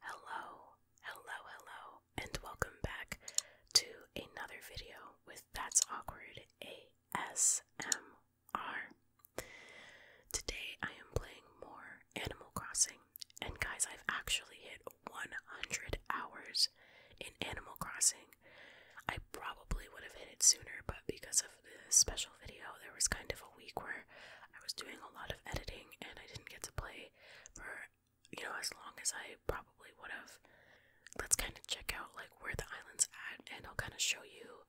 Hello, hello, hello, and welcome back to another video with That's Awkward ASMR. Today I am playing more Animal Crossing, and guys, I've actually hit 100 hours in Animal Crossing I probably would have hit it sooner, but because of the special video, there was kind of a week where I was doing a lot of editing and I didn't get to play for, you know, as long as I probably would have. Let's kind of check out like where the island's at, and I'll kind of show you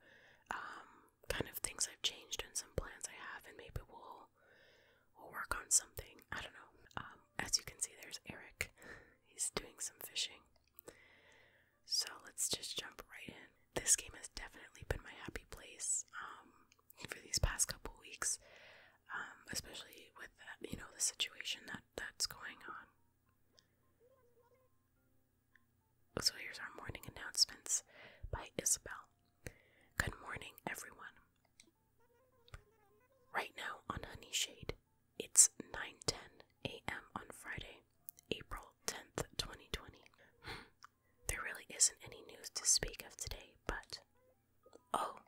um, kind of things I've changed and some plans I have, and maybe we'll we'll work on something. I don't know. Um, as you can see, there's Eric. He's doing some fishing. So let's just jump right in. This game has definitely been my happy place um, for these past couple weeks, um, especially with you know the situation that that's going on. So here's our morning announcements by Isabel. Good morning, everyone. Right now on Honeyshade, it's 9:10 a.m. on Friday, April 10th, 2020. Hmm, there really isn't any news to speak of today, but oh,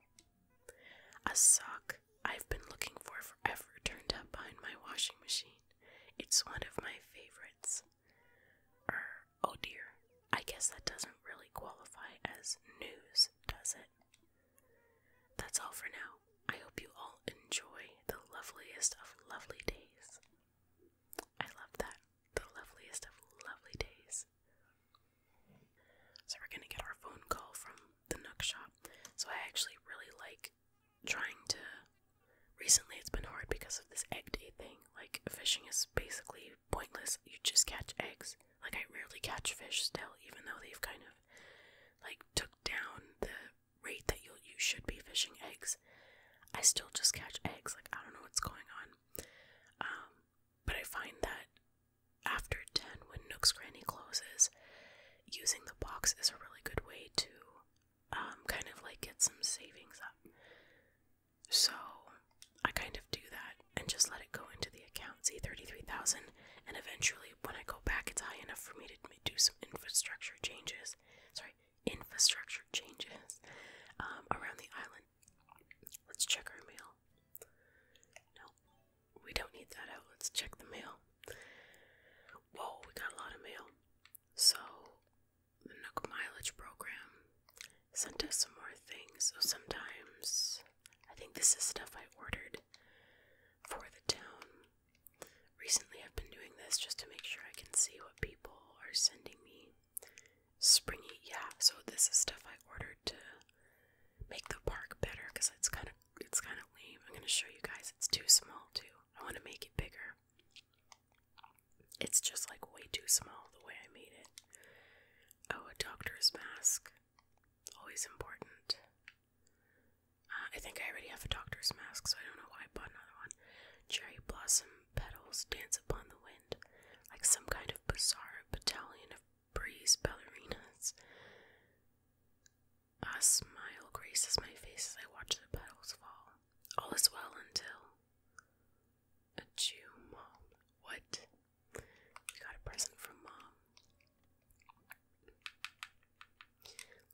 a sock I've been looking for forever turned up behind my washing machine. It's one of my favorites. Er, oh dear, I guess that doesn't really qualify as news, does it? That's all for now. I hope you all enjoy the loveliest of lovely days. I love that. The loveliest of lovely days. So, we're going to get our phone call from the Nook Shop. So, I actually really like trying to. Recently, it's been hard because of this egg day thing. Like, fishing is basically pointless. You just catch eggs. Like, I rarely catch fish still, even though they've kind of like took down the rate that you you should be fishing eggs. I still just catch eggs. Like I don't know what's going on. Um, but I find that after ten, when Nook's Cranny closes, using the box is a really good way to um, kind of like get some savings up. So I kind of do that and just let it go into the account. See, thirty-three thousand, and eventually when I go back, it's high enough for me to we do some infrastructure changes. Sorry, infrastructure changes um, around the island. Let's check our mail. No, we don't need that out. Let's check the mail. Whoa, we got a lot of mail. So, the Nook Mileage Program sent us some more things. So, sometimes I think this is stuff I ordered for the town. Recently, I've been doing this just to make sure I can see what people are sending me. Springy, yeah. So this is stuff I ordered to make the park better because it's kind of it's kind of lame. I'm gonna show you guys. It's too small too. I want to make it bigger. It's just like way too small the way I made it. Oh, a doctor's mask. Always important. I think I already have a doctor's mask, so I don't know why I bought another one. Cherry blossom petals dance upon the wind, like some kind of bizarre battalion of breeze ballerinas. A smile graces my face as I watch the petals fall. All is well until a Jew mom. What? You got a present from mom.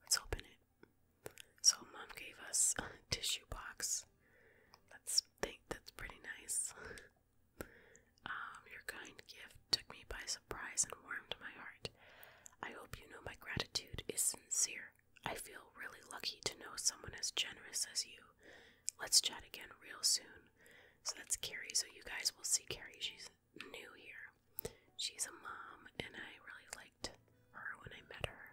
Let's open it. So mom gave us a tissue box. let think that's pretty nice. um, your kind gift took me by surprise and warmed my heart. I hope you know my gratitude is sincere. I feel really lucky to know someone as generous as you. Let's chat again real soon. So that's Carrie. So you guys will see Carrie. She's new here. She's a mom, and I really liked her when I met her.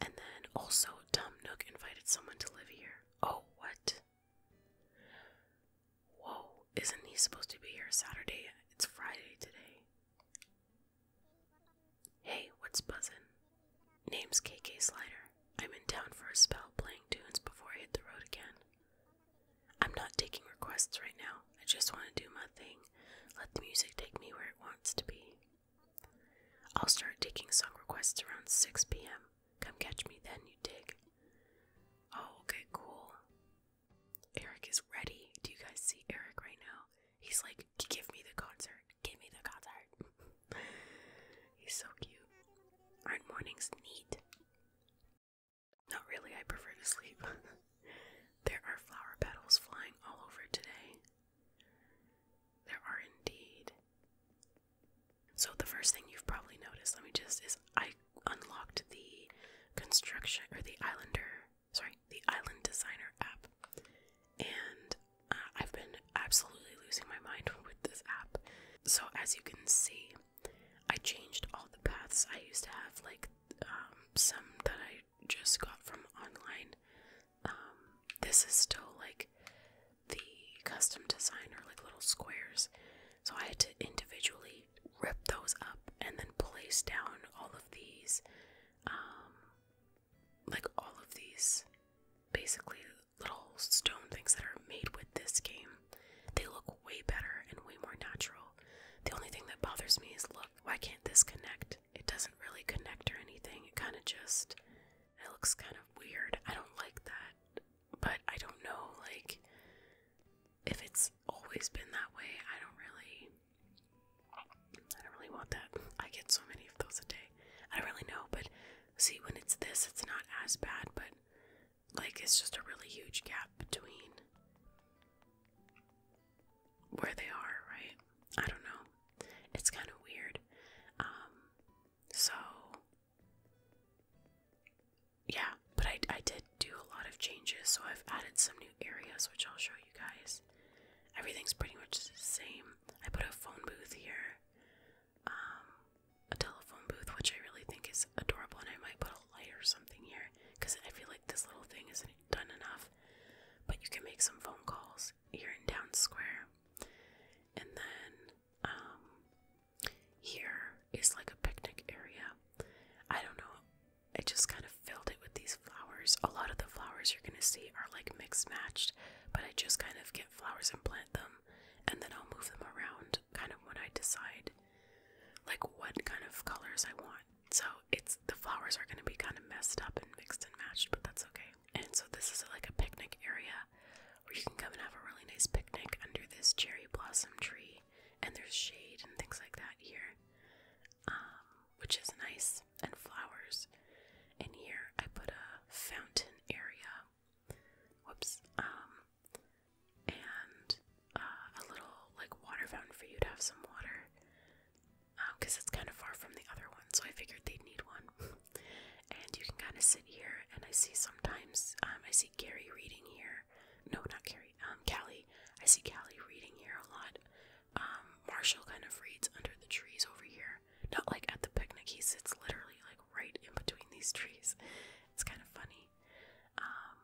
And then also, Dumb Nook invited someone to live here. Oh, what? Whoa, isn't he supposed to be here Saturday? It's Friday today. Hey, what's buzzing? Name's KK Slider. I'm in town for a spell playing tunes before I hit the road again. I'm not taking requests right now. I just want to do my thing. Let the music take me where it wants to be. I'll start taking song requests around 6 p.m. Come catch me then, you dig. Oh, okay, cool. Eric is ready. Do you guys see Eric right now? He's like, give me the concert. Give me the concert. He's so cute. are mornings neat? Not really, I prefer to sleep. there are flower petals flying all over today. There are indeed. So, the first thing you've probably noticed, let me just, is I unlocked the construction or the Islander, sorry, the Island Designer app. And uh, I've been absolutely losing my mind with this app. So, as you can see, I changed all the paths. I used to have like um, some that I just got from online. Um, this is still like the custom design or like little squares. So I had to individually rip those up and then place down all of these, um, like all of these basically little stone things that are made with this game. They look way better and way more natural the only thing that bothers me is look, why can't this connect? It doesn't really connect or anything. It kind of just, it looks kind of weird. I don't like that. But I don't know, like, if it's always been that way, I don't really, I don't really want that. I get so many of those a day. I don't really know, but see, when it's this, it's not as bad, but like, it's just a really huge gap between where they are, right? I don't know. It's kind of weird. Um, so yeah, but I, I did do a lot of changes, so I've added some new areas, which I'll show you guys. Everything's pretty much the same. I put a phone booth here, um, a telephone booth, which I really think is adorable, and I might put a light or something here because I feel like this little thing isn't done enough. But you can make some phone calls here in Down Square. And then um, here is like a picnic area. I don't know. I just kind of filled it with these flowers. A lot of the flowers you're going to see are like mixed matched, but I just kind of get flowers and plant them, and then I'll move them around kind of when I decide like what kind of colors I want so it's the flowers are gonna be kind of messed up and mixed and matched, but that's okay. And so this is like a picnic area where you can come and have a really nice picnic under this cherry blossom tree, and there's shade and things like that here, um, which is nice, and flowers. And here I put a fountain area. Whoops. Um, and uh, a little like water fountain for you to have some water because um, it's kind of far from the other one, so I figured they'd need one. and you can kind of sit here, and I see sometimes um, I see Gary reading here. No, not Gary. Um, Callie. I see Callie reading here a lot. Um, Marshall kind of reads under the trees over here. Not like at the picnic. He sits literally like right in between these trees. It's kind of funny. Um,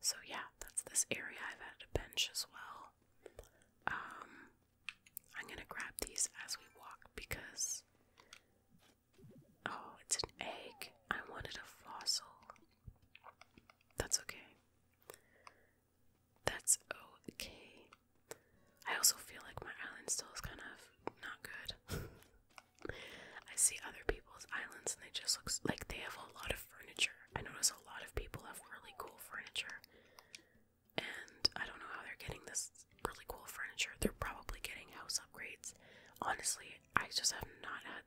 so yeah, that's this area. I've added a bench as well. Um, I'm gonna grab these as we walk because oh, it's an egg. I wanted a fossil. That's okay. That's okay. I also feel like my island still is kind of not good. I see other people's islands and they just look like they have a lot of furniture. I notice a lot of people have really cool furniture. And I don't know how they're getting this really cool furniture. They're probably getting house upgrades. Honestly, I just have not had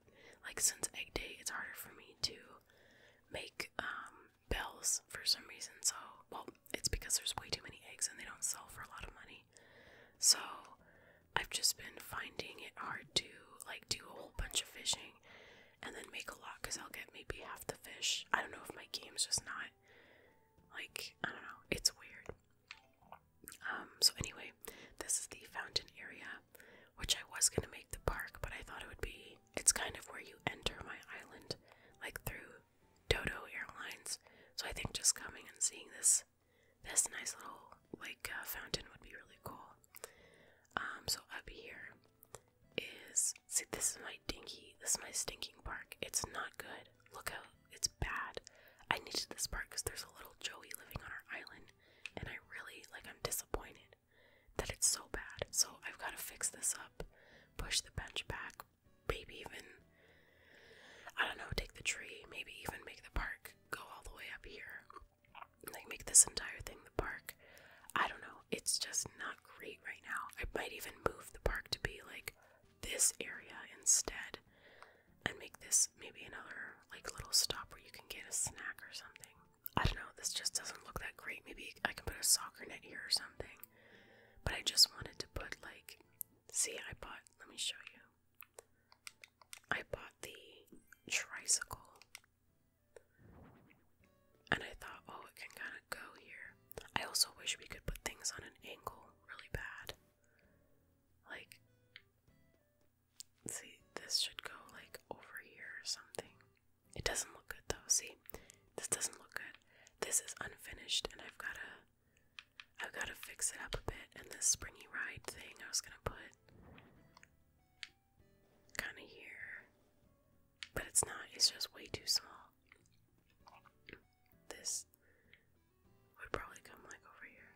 like since egg day, it's harder for me to make um bells for some reason. So, well, it's because there's way too many eggs and they don't sell for a lot of money. So, I've just been finding it hard to like do a whole bunch of fishing and then make a lot because I'll get maybe half the fish. I don't know if my game's just not like, I don't know, it's weird. Um, so anyway, this is the fountain area, which I was gonna make the park, but I thought it would be it's kind of where you enter my island, like through Dodo Airlines. So I think just coming and seeing this this nice little like a uh, fountain would be really cool. Um, so up here is see this is my dinky this is my stinking park. It's not good. Look out, it's bad. I needed this park because there's a little Joey living on our island, and I really like I'm disappointed that it's so bad. So I've gotta fix this up, push the bench back, maybe even I don't know, take the tree, maybe even make the park go all the way up here like make this entire thing the park. I don't know. It's just not great right now. I might even move the park to be like this area instead and make this maybe another like little stop where you can get a snack or something. I don't know. This just doesn't look that great. Maybe I can put a soccer net here or something. But I just wanted to put like see I bought let me show you. I bought the tricycle and I thought, oh, it can kind of go here. I also wish we could put things on an angle really bad. Like, see, this should go like over here or something. It doesn't look good though. See, this doesn't look good. This is unfinished, and I've gotta, I've gotta fix it up a bit. And this springy ride thing, I was gonna put kind of here, but it's not, it's just way too small. This would probably come like over here.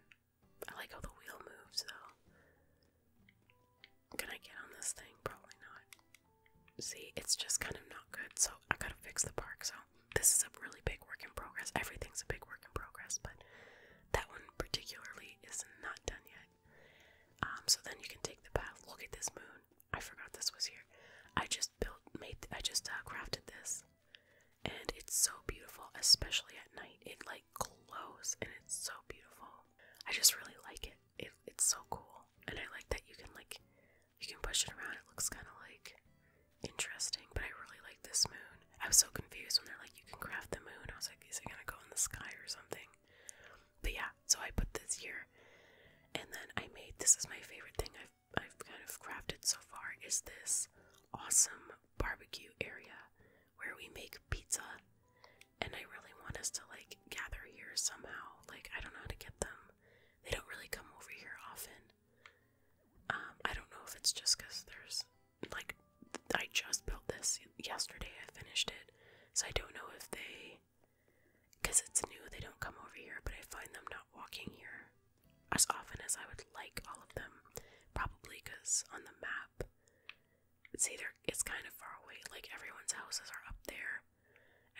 I like how the wheel moves though. Can I get on this thing? Probably not. See, it's just kind of not good, so I gotta fix the park. So, this is a really big work in progress. Everything's a big work in progress, but that one particularly is not done yet. Um, so then you can take the path. Look at this moon. I forgot this was here. I just built, made, I just uh, crafted this, and it's so beautiful, especially at night. It like glows, and it's so beautiful. I just really like it it's so cool, and I like that you can like, you can push it around. It looks kind of like interesting, but I really like this moon. I was so confused when they're like, you can craft the moon. I was like, is it gonna go in the sky or something? But yeah, so I put this here, and then I made this is my favorite thing I've I've kind of crafted so far is this awesome barbecue area where we make pizza, and I really want us to like gather here somehow. Like I don't know how to get them; they don't really come over here often. Um, I don't know if it's just because there's like I just built this yesterday. I finished it, so I don't know if they, because it's new, they don't come over here. But I find them not walking here as often as I would like all of them. Probably because on the map, it's either it's kind of far away. Like everyone's houses are up there,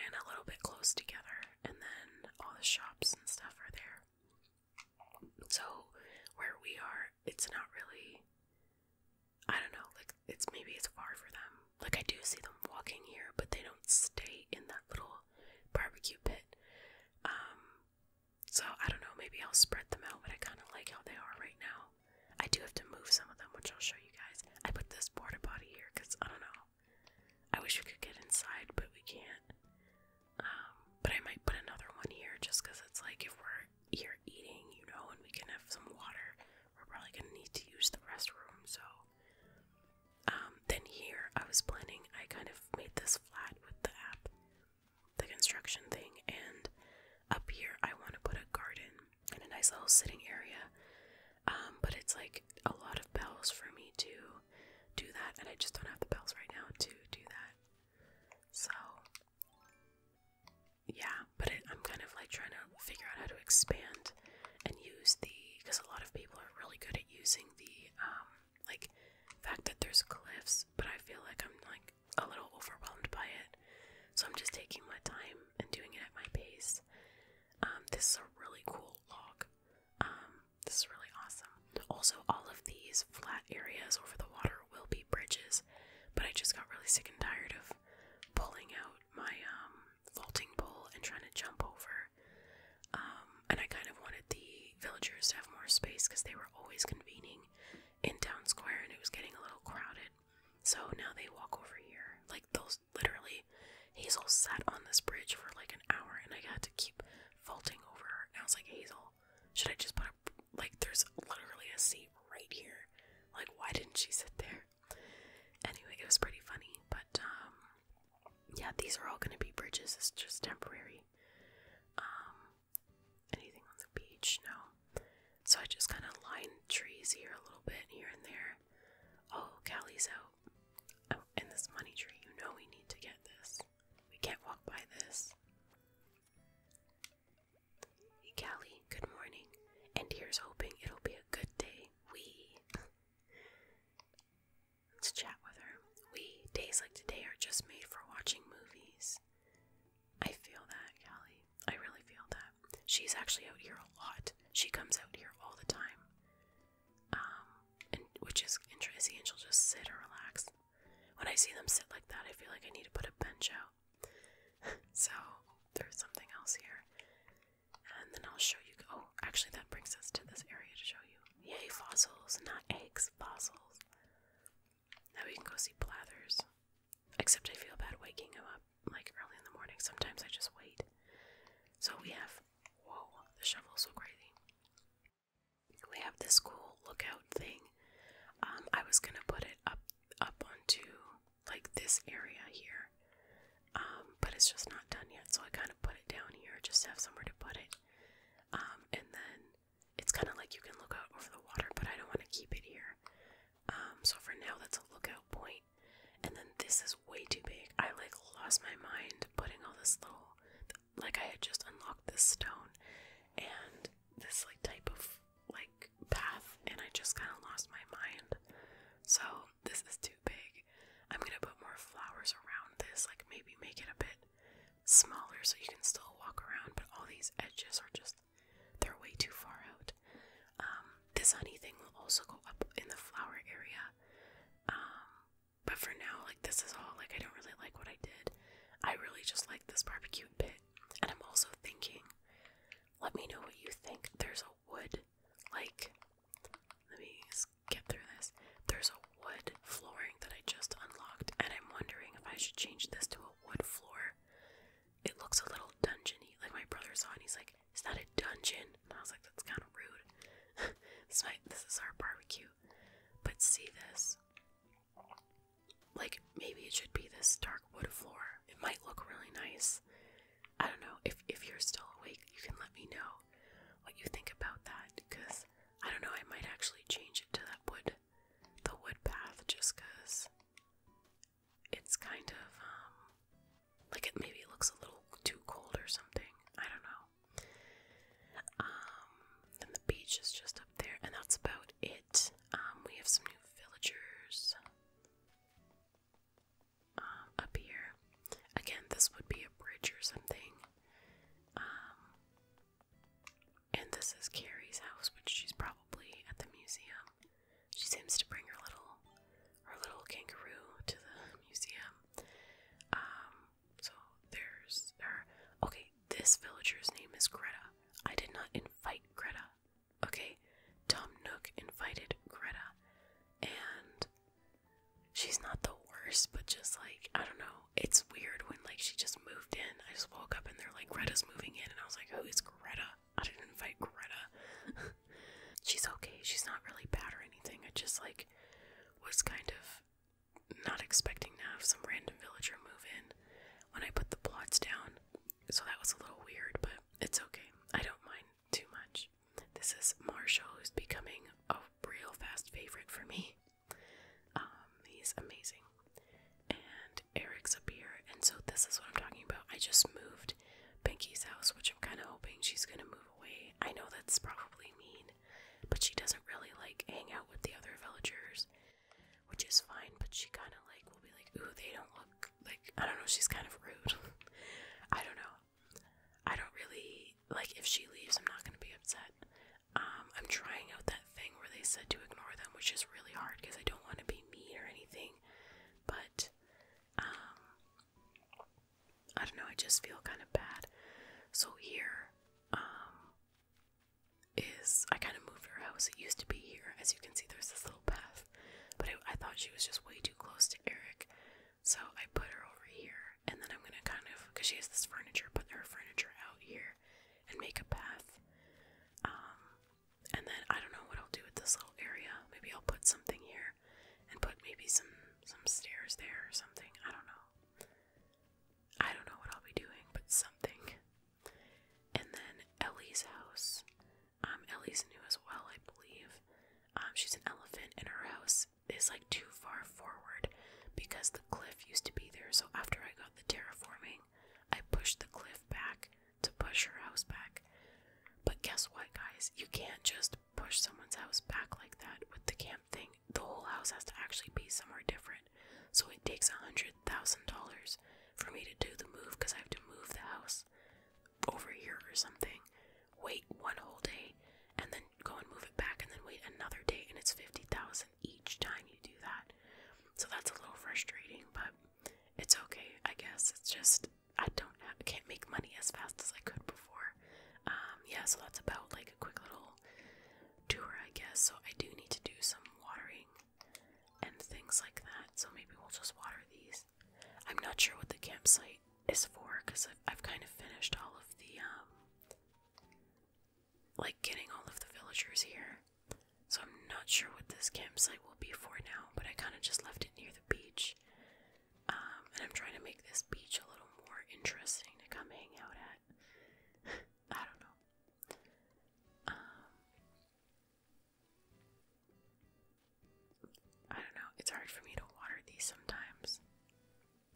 and a little bit close together, and then all the shops and stuff are there. So where we are, it's not really I don't know, like it's maybe it's far for them. Like I do see them walking here, but they don't stay in that little barbecue pit. Um so I don't know, maybe I'll spread them out, but I kinda like how they are right now. I do have to move some of them, which I'll show you guys. I put this porta potty here because I don't know. I wish we could get inside, but we can't. Um, but I might put another one here just because it's like if we here eating, you know, and we can have some water. We're probably gonna need to use the restroom, so um, then here I was planning, I kind of made this flat with the app, the construction thing, and up here I want to put a garden and a nice little sitting area. Um, but it's like a lot of bells for me to do that, and I just don't have the bells right now to do that. So yeah, but I'm kind of like trying to figure out how to expand and use the because a lot of people are really good at using the um like fact that there's cliffs, but I feel like I'm like a little overwhelmed by it, so I'm just taking my time and doing it at my pace. Um, this is a really cool log. Um, this is really awesome. Also, all of these flat areas over the water will be bridges, but I just got really sick and tired of pulling out my um, vaulting pole and trying to jump over. Um, and I kind of wanted the villagers to have more space because they were always convening in town square and it was getting a little crowded. So now they walk over here. Like, those literally, Hazel sat on this bridge for like an hour and I had to keep vaulting over her. And I was like, Hazel, should I just put a like, there's literally a seat right here. Like, why didn't she sit there? Anyway, it was pretty funny, but um, yeah, these are all gonna be bridges. It's just temporary. Um, anything on the beach? No. So I just kind of lined trees here a little bit, here and there. Oh, Callie's out. Oh, and this money tree. You know we need to get this. We can't walk by this. Callie, good morning. And here's hoping it'll be a good day. We. Let's chat with her. We. Days like today are just made for watching movies. I feel that, Callie. I really feel that. She's actually out here a lot. She comes out here all the time. Um, which is interesting. she'll just sit and relax. When I see them sit like that, I feel like I need to put a bench out. so there's something else here. And then I'll show you. Oh, actually, that brings us to this area to show you. Yay, fossils, not eggs, fossils. Now we can go see Blathers. Except I feel bad waking him up like early in the morning. Sometimes I just wait. So we have. Whoa, the shovel's so crazy. We have this cool lookout thing. Um, I was gonna put it up up onto like this area here. Um, but it's just not done yet, so I kind of put it down here just to have somewhere to put it. Um, and then it's kind of like you can look out over the water, but I don't want to keep it here. Um, so for now, that's a lookout point. And then this is way too big. I like lost my mind putting all this little, like I had just unlocked this stone and this like type of like path and I just kind of lost my mind. So this is too big. I'm going to put more flowers around this, like maybe make it a bit smaller so you can still walk around, but all these edges are just they're way too far out. Um, this honey thing will also go up in the flower area. Um, but for now, like this is all like I don't really like what I did. I really just like this barbecue pit and I'm also thinking, let me know what you think. There's a wood, like, let me skip through this. There's a wood flooring that I just unlocked, and I'm wondering if I should change this to a wood floor. It looks a little dungeony. Like my brother saw, and he's like, "It's not a dungeon," and I was like, "That's kind of rude." this is our barbecue, but see this. Like, maybe it should be this dark wood floor. It might look really nice. I don't know. If, if you're still awake, you can let me know what you think about that. Because, I don't know, I might actually change it to that wood, the wood path, just because it's kind of, um, like it maybe looks a little too cold or something. I don't know. Um, then the beach is just up there, and that's about it. Um, we have some new villagers um, up here. Again, this would be a bridge or something. Um, and this is Carrie's house, which she's probably at the museum. She seems to bring her little her little kangaroo to the museum. so there's her. Okay, this villager's name is Greta. I did not invite Greta okay, Tom Nook invited Greta, and she's not the worst, but just like, I don't know, it's weird when like she just moved in. I just woke up and they're like, Greta's moving in, and I was like, who is Greta? I didn't invite Greta. she's okay, she's not really bad or anything. I just like was kind of not expecting to have some random villager move in. When I put the plots down, so that was a little weird, but it's okay. I don't mind too much. This is Marshall, who's becoming a real fast favorite for me. Um, he's amazing. And Eric's up here, and so this is what I'm talking about. I just moved Pinky's house, which I'm kind of hoping she's gonna move away. I know that's probably mean, but she doesn't really like hang out with the other villagers which is fine, but she kind of like will be like, ooh, they don't look like, I don't know, she's kind of rude. I don't know. I don't really, like, if she leaves, I'm not going to be upset. Um, I'm trying out that thing where they said to ignore them, which is really hard because I don't want to be mean or anything, but, um, I don't know, I just feel kind of bad. So here, um, is I kind of moved her house. It used to be here. As you can see, there's this little path. But I thought she was just way too close to Eric. So I put her over here. And then I'm going to kind of, because she has this furniture, put her furniture out here and make a path. Um, and then I don't know what I'll do with this little area. Maybe I'll put something here and put maybe some, some stairs there or something. I don't know. I don't know what I'll be doing, but something. And then Ellie's house. Um, Ellie's new as well, I believe. Um, she's an elephant, and her house is like too far forward because the cliff used to be there. So after I got the terraforming, I pushed the cliff back to push her house back. But guess what, guys? You can't just push someone's house back like that with the camp thing. The whole house has to actually be somewhere different. So it takes a hundred thousand dollars for me to do the move because I have to move the house over here or something, wait one whole day, and then go and move it back, and then wait another day, and it's 50,000 each time you do that. So that's a little frustrating, but it's okay, I guess. It's just I don't have, can't make money as fast as I could before. Um, yeah, so that's about like a quick little tour, I guess. So I do need to do some watering and things like that. So maybe we'll just water these. I'm not sure what the campsite is for because I've, kind of finished all of the, um, like getting all of the villagers here. So I'm not sure what this campsite will be for now, but I kind of just left it near the beach. Um, and I'm trying to make this beach a little more interesting to come hang out at. I don't know. Um, I don't know, it's hard for me to water these sometimes.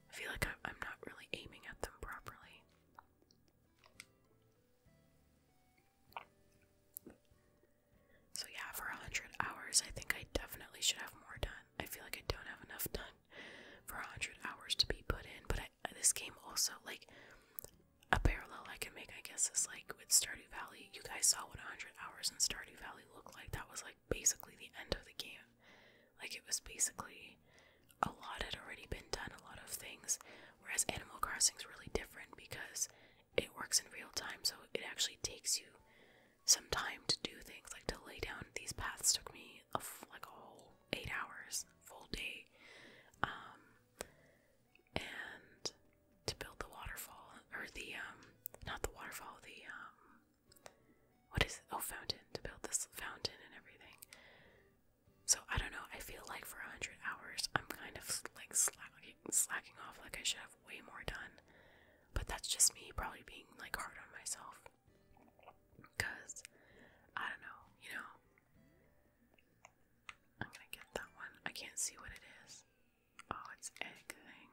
I feel like I'm not really aiming at them properly. So, yeah, for 100 hours, I think I definitely should have more done. I feel like I don't have enough done for 100 hours to be put in, but I, this game also, like, a parallel I can make, I guess, is like with Stardew Valley. You guys saw what 100 hours in Stardew Valley looked like. That was like basically the end of the game. Like it was basically a lot had already been done, a lot of things. Whereas Animal Crossing is really different because it works in real time, so it actually takes you some time to do things. Like to lay down these paths took me like a whole eight hours, full day. Um, and to build the waterfall or the um not the waterfall the um what is oh fountain to build this fountain and everything so i don't know i feel like for 100 hours i'm kind of like slacking, slacking off like i should have way more done but that's just me probably being like hard on myself because i don't know you know I'm gonna get that one. I can't see what it is. Oh, it's egg thing.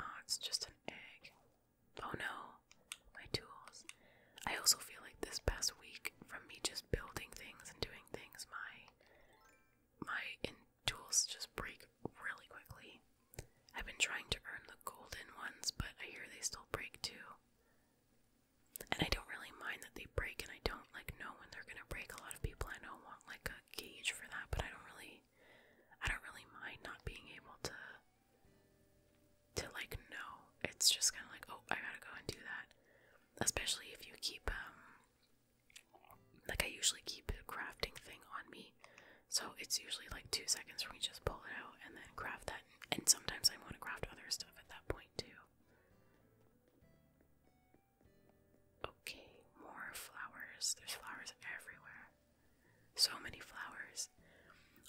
Oh, it's just an egg. Oh no, my tools. I also feel like this past week, from me just building things and doing things, my my tools just break really quickly. I've been trying to earn the golden ones, but I hear they still break too. And I don't really mind that they break, and I don't like know when they're gonna break. A lot of people I know want like a gauge for that, but I don't really, I don't really mind not being able to, to like know. It's just kind of like, oh, I gotta go and do that. Especially if you keep, um, like I usually keep a crafting thing on me, so it's usually like two seconds for me just pull it out and then craft that. And sometimes I want to craft other stuff at that point too. Okay, more flowers. There's flowers everywhere. So many flowers.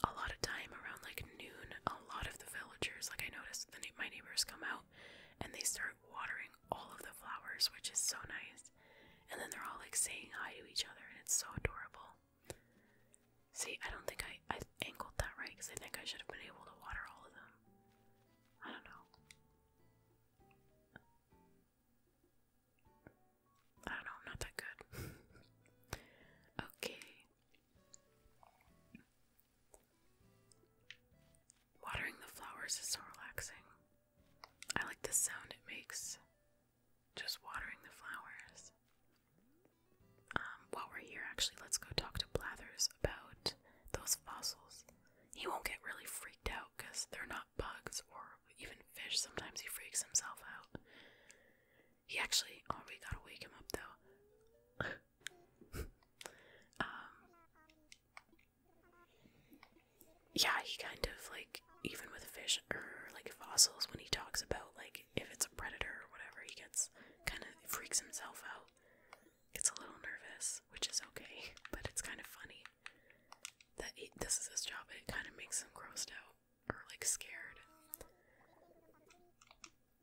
A lot of time around like noon, a lot of the villagers, like I noticed, the, my neighbors come out and they start watering all of the flowers, which is so nice. And then they're all like saying hi to each other, and it's so adorable. See, I don't think I angled that right because I think I should have been able to water all of them. I don't know. I don't know, I'm not that good. okay. Watering the flowers is so relaxing. I like the sound it makes just watering the flowers. Um, while we're here, actually, let's go talk to Blathers about those fossils, he won't get really freaked out because they're not bugs or even fish. Sometimes he freaks himself out. He actually, oh, we gotta wake him up though. um, yeah, he kind of like, even with fish or like fossils, when he talks about like if it's a predator or whatever, he gets kind of freaks himself out gets a little nervous, which is okay, but it's kind of funny that this is his job and it kind of makes him grossed out or like scared.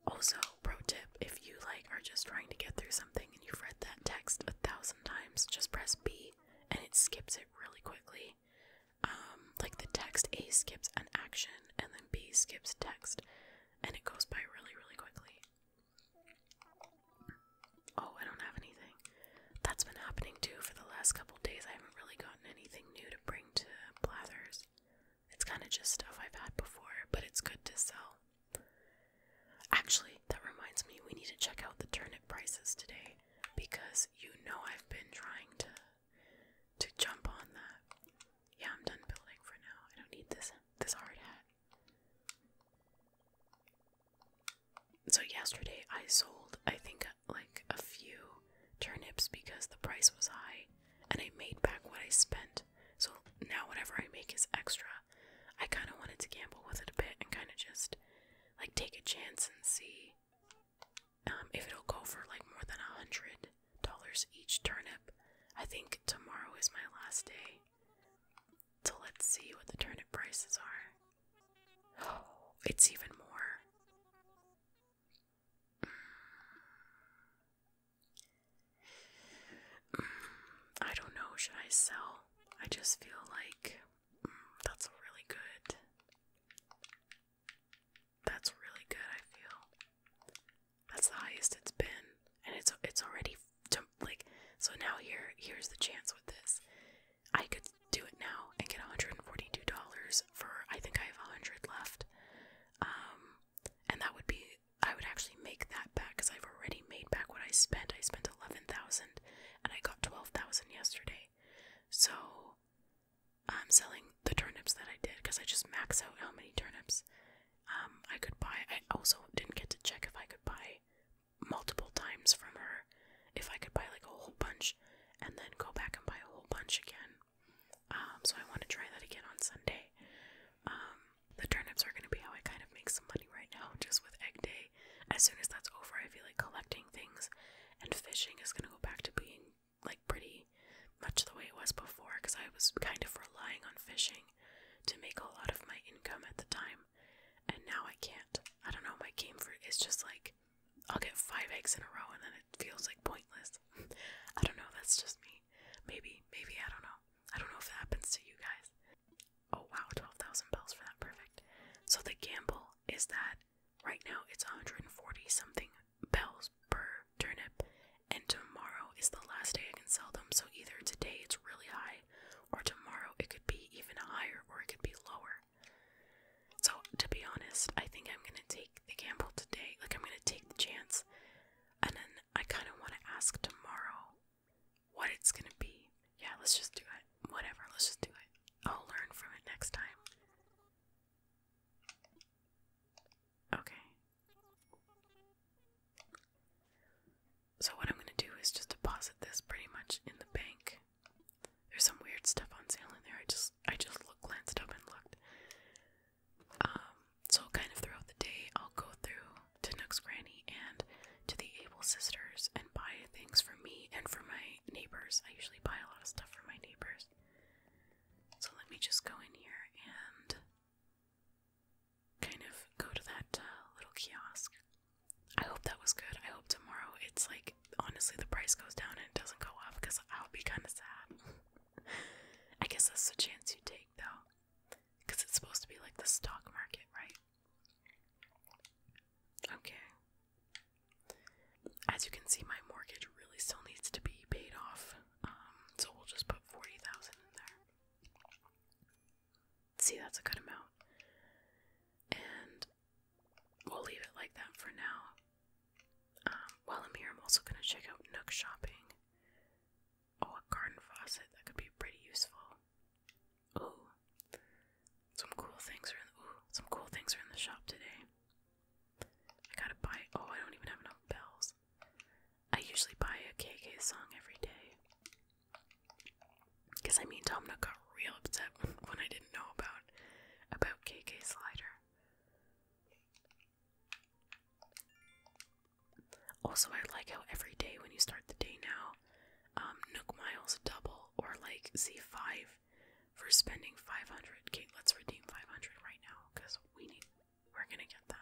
Also, pro tip if you like are just trying to get through something and you've read that text a thousand times, just press B and it skips it really quickly. Um, like the text A skips an action and then B skips text and it goes by really, really quickly. Oh, I don't have anything. That's been happening too for the last couple days. I haven't really gotten anything new to bring to Blathers. It's kind of just stuff I've had before, but it's good to sell. Actually, that reminds me, we need to check out the turnip prices today because you know I've been trying to to jump on that. Yeah, I'm done building for now. I don't need this this hard hat. So yesterday I sold I think like a few turnips because the price was high and I made back what I spent. So now whatever I make is extra. I kind of wanted to gamble with it a bit and kind of just like take a chance and see um, if it'll go for like more than a hundred dollars each turnip. I think tomorrow is my last day. So let's see what the turnip prices are. it's even more. Mm. Mm. I don't know, should I sell? I just feel like mm, that's really good. That's really good, I feel. That's the highest it's been, and it's it's already like so. Now here here's the chance with this. I could do it now and get one hundred and forty two dollars for I think I have a hundred left, um, and that would be I would actually make that back because I've already made back what I spent. I spent eleven thousand, and I got twelve thousand yesterday. So I'm selling the turnips that I did because I just max out how many turnips um, I could buy. I also didn't get to check if I could buy multiple times from her, if I could buy like a whole bunch and then go back and buy a whole bunch again. Um, so I want to try that again on Sunday. Um, the turnips are going to be how I kind of make some money right now, just with egg day. As soon as that's over, I feel like collecting things and fishing is going to go back to being like pretty much the way it was before because I was kind of relying on fishing to make a lot of my income at the time, and now I can't. I don't know, my game for is just like I'll get five eggs in a row and then it feels like pointless. I don't know, that's just me. Maybe, maybe, I don't know. I don't know if it happens to you guys. Oh wow, 12,000 bells for that, perfect. So the gamble is that right now it's 140 something bells per turnip and tomorrow is the last day I can sell them. So either today it's really high, or tomorrow it could be even higher, or it could be lower. So to be honest, I think I'm gonna take the gamble today. Like I'm gonna take the chance, and then I kind of want to ask tomorrow what it's gonna be. Yeah, let's just do it. Whatever, let's just do it. I'll learn from it next time. Okay, so, what I'm going to do is just deposit this pretty much in the bank. There's some weird stuff on sale in there. I just, I just look, glanced up and looked. Um, so, kind of throughout the day, I'll go through to next Granny and to the Able Sisters and buy things for me and for my neighbors. I usually buy a lot of stuff for my neighbors. So, let me just go in here and kind of go to that uh, little kiosk. I hope that was good. I hope tomorrow it's like honestly the price goes down and it doesn't go up because I'll be kind of sad. I guess that's a chance you take though, because it's supposed to be like the stock market, right? Okay. As you can see, my mortgage really still needs to be paid off, um, so we'll just put forty thousand in there. See, that's a good amount. And we'll leave it like that for now. Um, while I'm here, I'm also going to check out Nook Shopping. Oh, a garden faucet. That could be pretty useful. Ooh. Some cool things are in the, some cool things are in the shop today. I gotta buy. Oh, I don't even have enough bells. I usually buy a KK song every day. Cause I mean Domino got real upset when, I didn't know about about KK Slider. Also, I like how every day when you start the day now, um, Nook Miles double or like Z5 for spending 500. Okay, let's redeem 500 right now because we need we're gonna get that.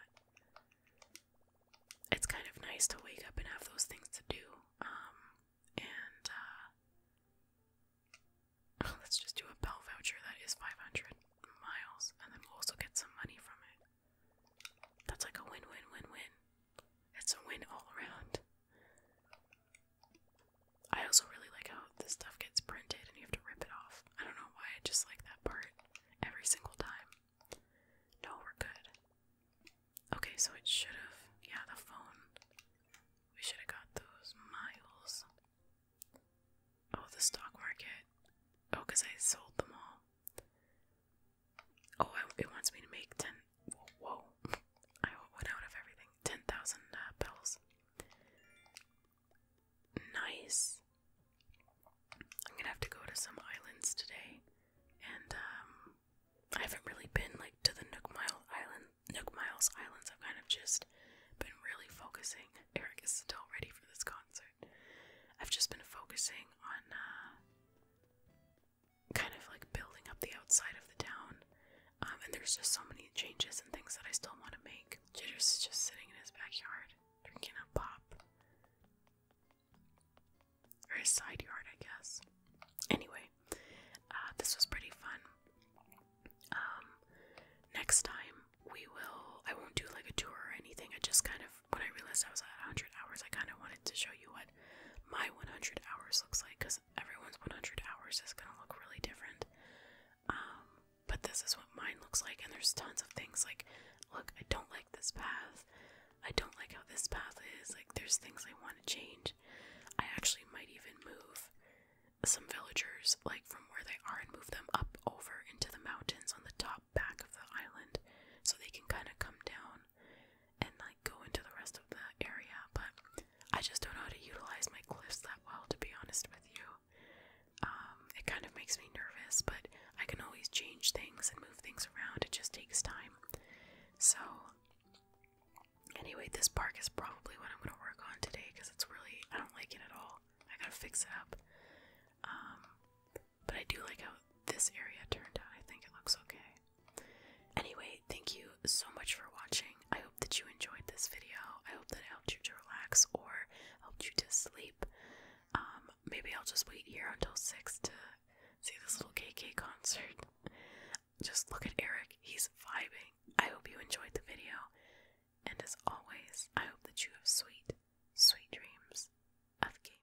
It's kind of nice to wake up and have those things to do. Um, and, uh, oh, let's just do a bell voucher that is 500 miles, and then we'll also get some money from it. That's like a win win win win. It's a win all around. I also really like how this stuff gets printed and you have to rip it off. I don't know why I just like that part every single time. No, we're good. Okay, so it should have. Yeah, the phone. We should have got those miles. Oh, the stock market. Oh, I sold them all. Oh, it wants me to make 10. Whoa. whoa. I went out of everything. 10,000 uh, bells. Nice. I'm gonna have to go to some islands today, and um, I haven't really been like to the Nook Mile Island, Nook Miles Islands. I've kind of just been really focusing. Eric is still ready for this concert. I've just been focusing on uh, kind of like building up the outside of the town, um, and there's just so many changes and things that I still want to make. Jitters is just sitting in his backyard drinking a pop. Or a side yard, I guess. Anyway, uh, this was pretty fun. Um, next time we will, I won't do like a tour or anything. I just kind of, when I realized I was at 100 hours, I kind of wanted to show you what my 100 hours looks like because everyone's 100 hours is going to look really different. Um, but this is what mine looks like, and there's tons of things like, look, I don't like this path. I don't like how this path is. Like, there's things I want to change. I actually might even move some villagers, like, from where they are and move them up over into the mountains on the top back of the island so they can kind of come down and, like, go into the rest of the area. But I just don't know how to utilize my cliffs that well, to be honest with you. Um, it kind of makes me nervous, but I can always change things and move things around, it just takes time. So, anyway, this park is probably what I'm going to work on today because it's really, I don't like it at all. I gotta fix it up. Um, but I do like how this area turned out. I think it looks okay. Anyway, thank you so much for watching. I hope that you enjoyed this video. I hope that it helped you to relax or helped you to sleep. Um, maybe I'll just wait here until six to see this little KK concert. Just look at Eric, he's vibing. I hope you enjoyed the video. And as always, I hope that you have sweet, sweet dreams of gaming.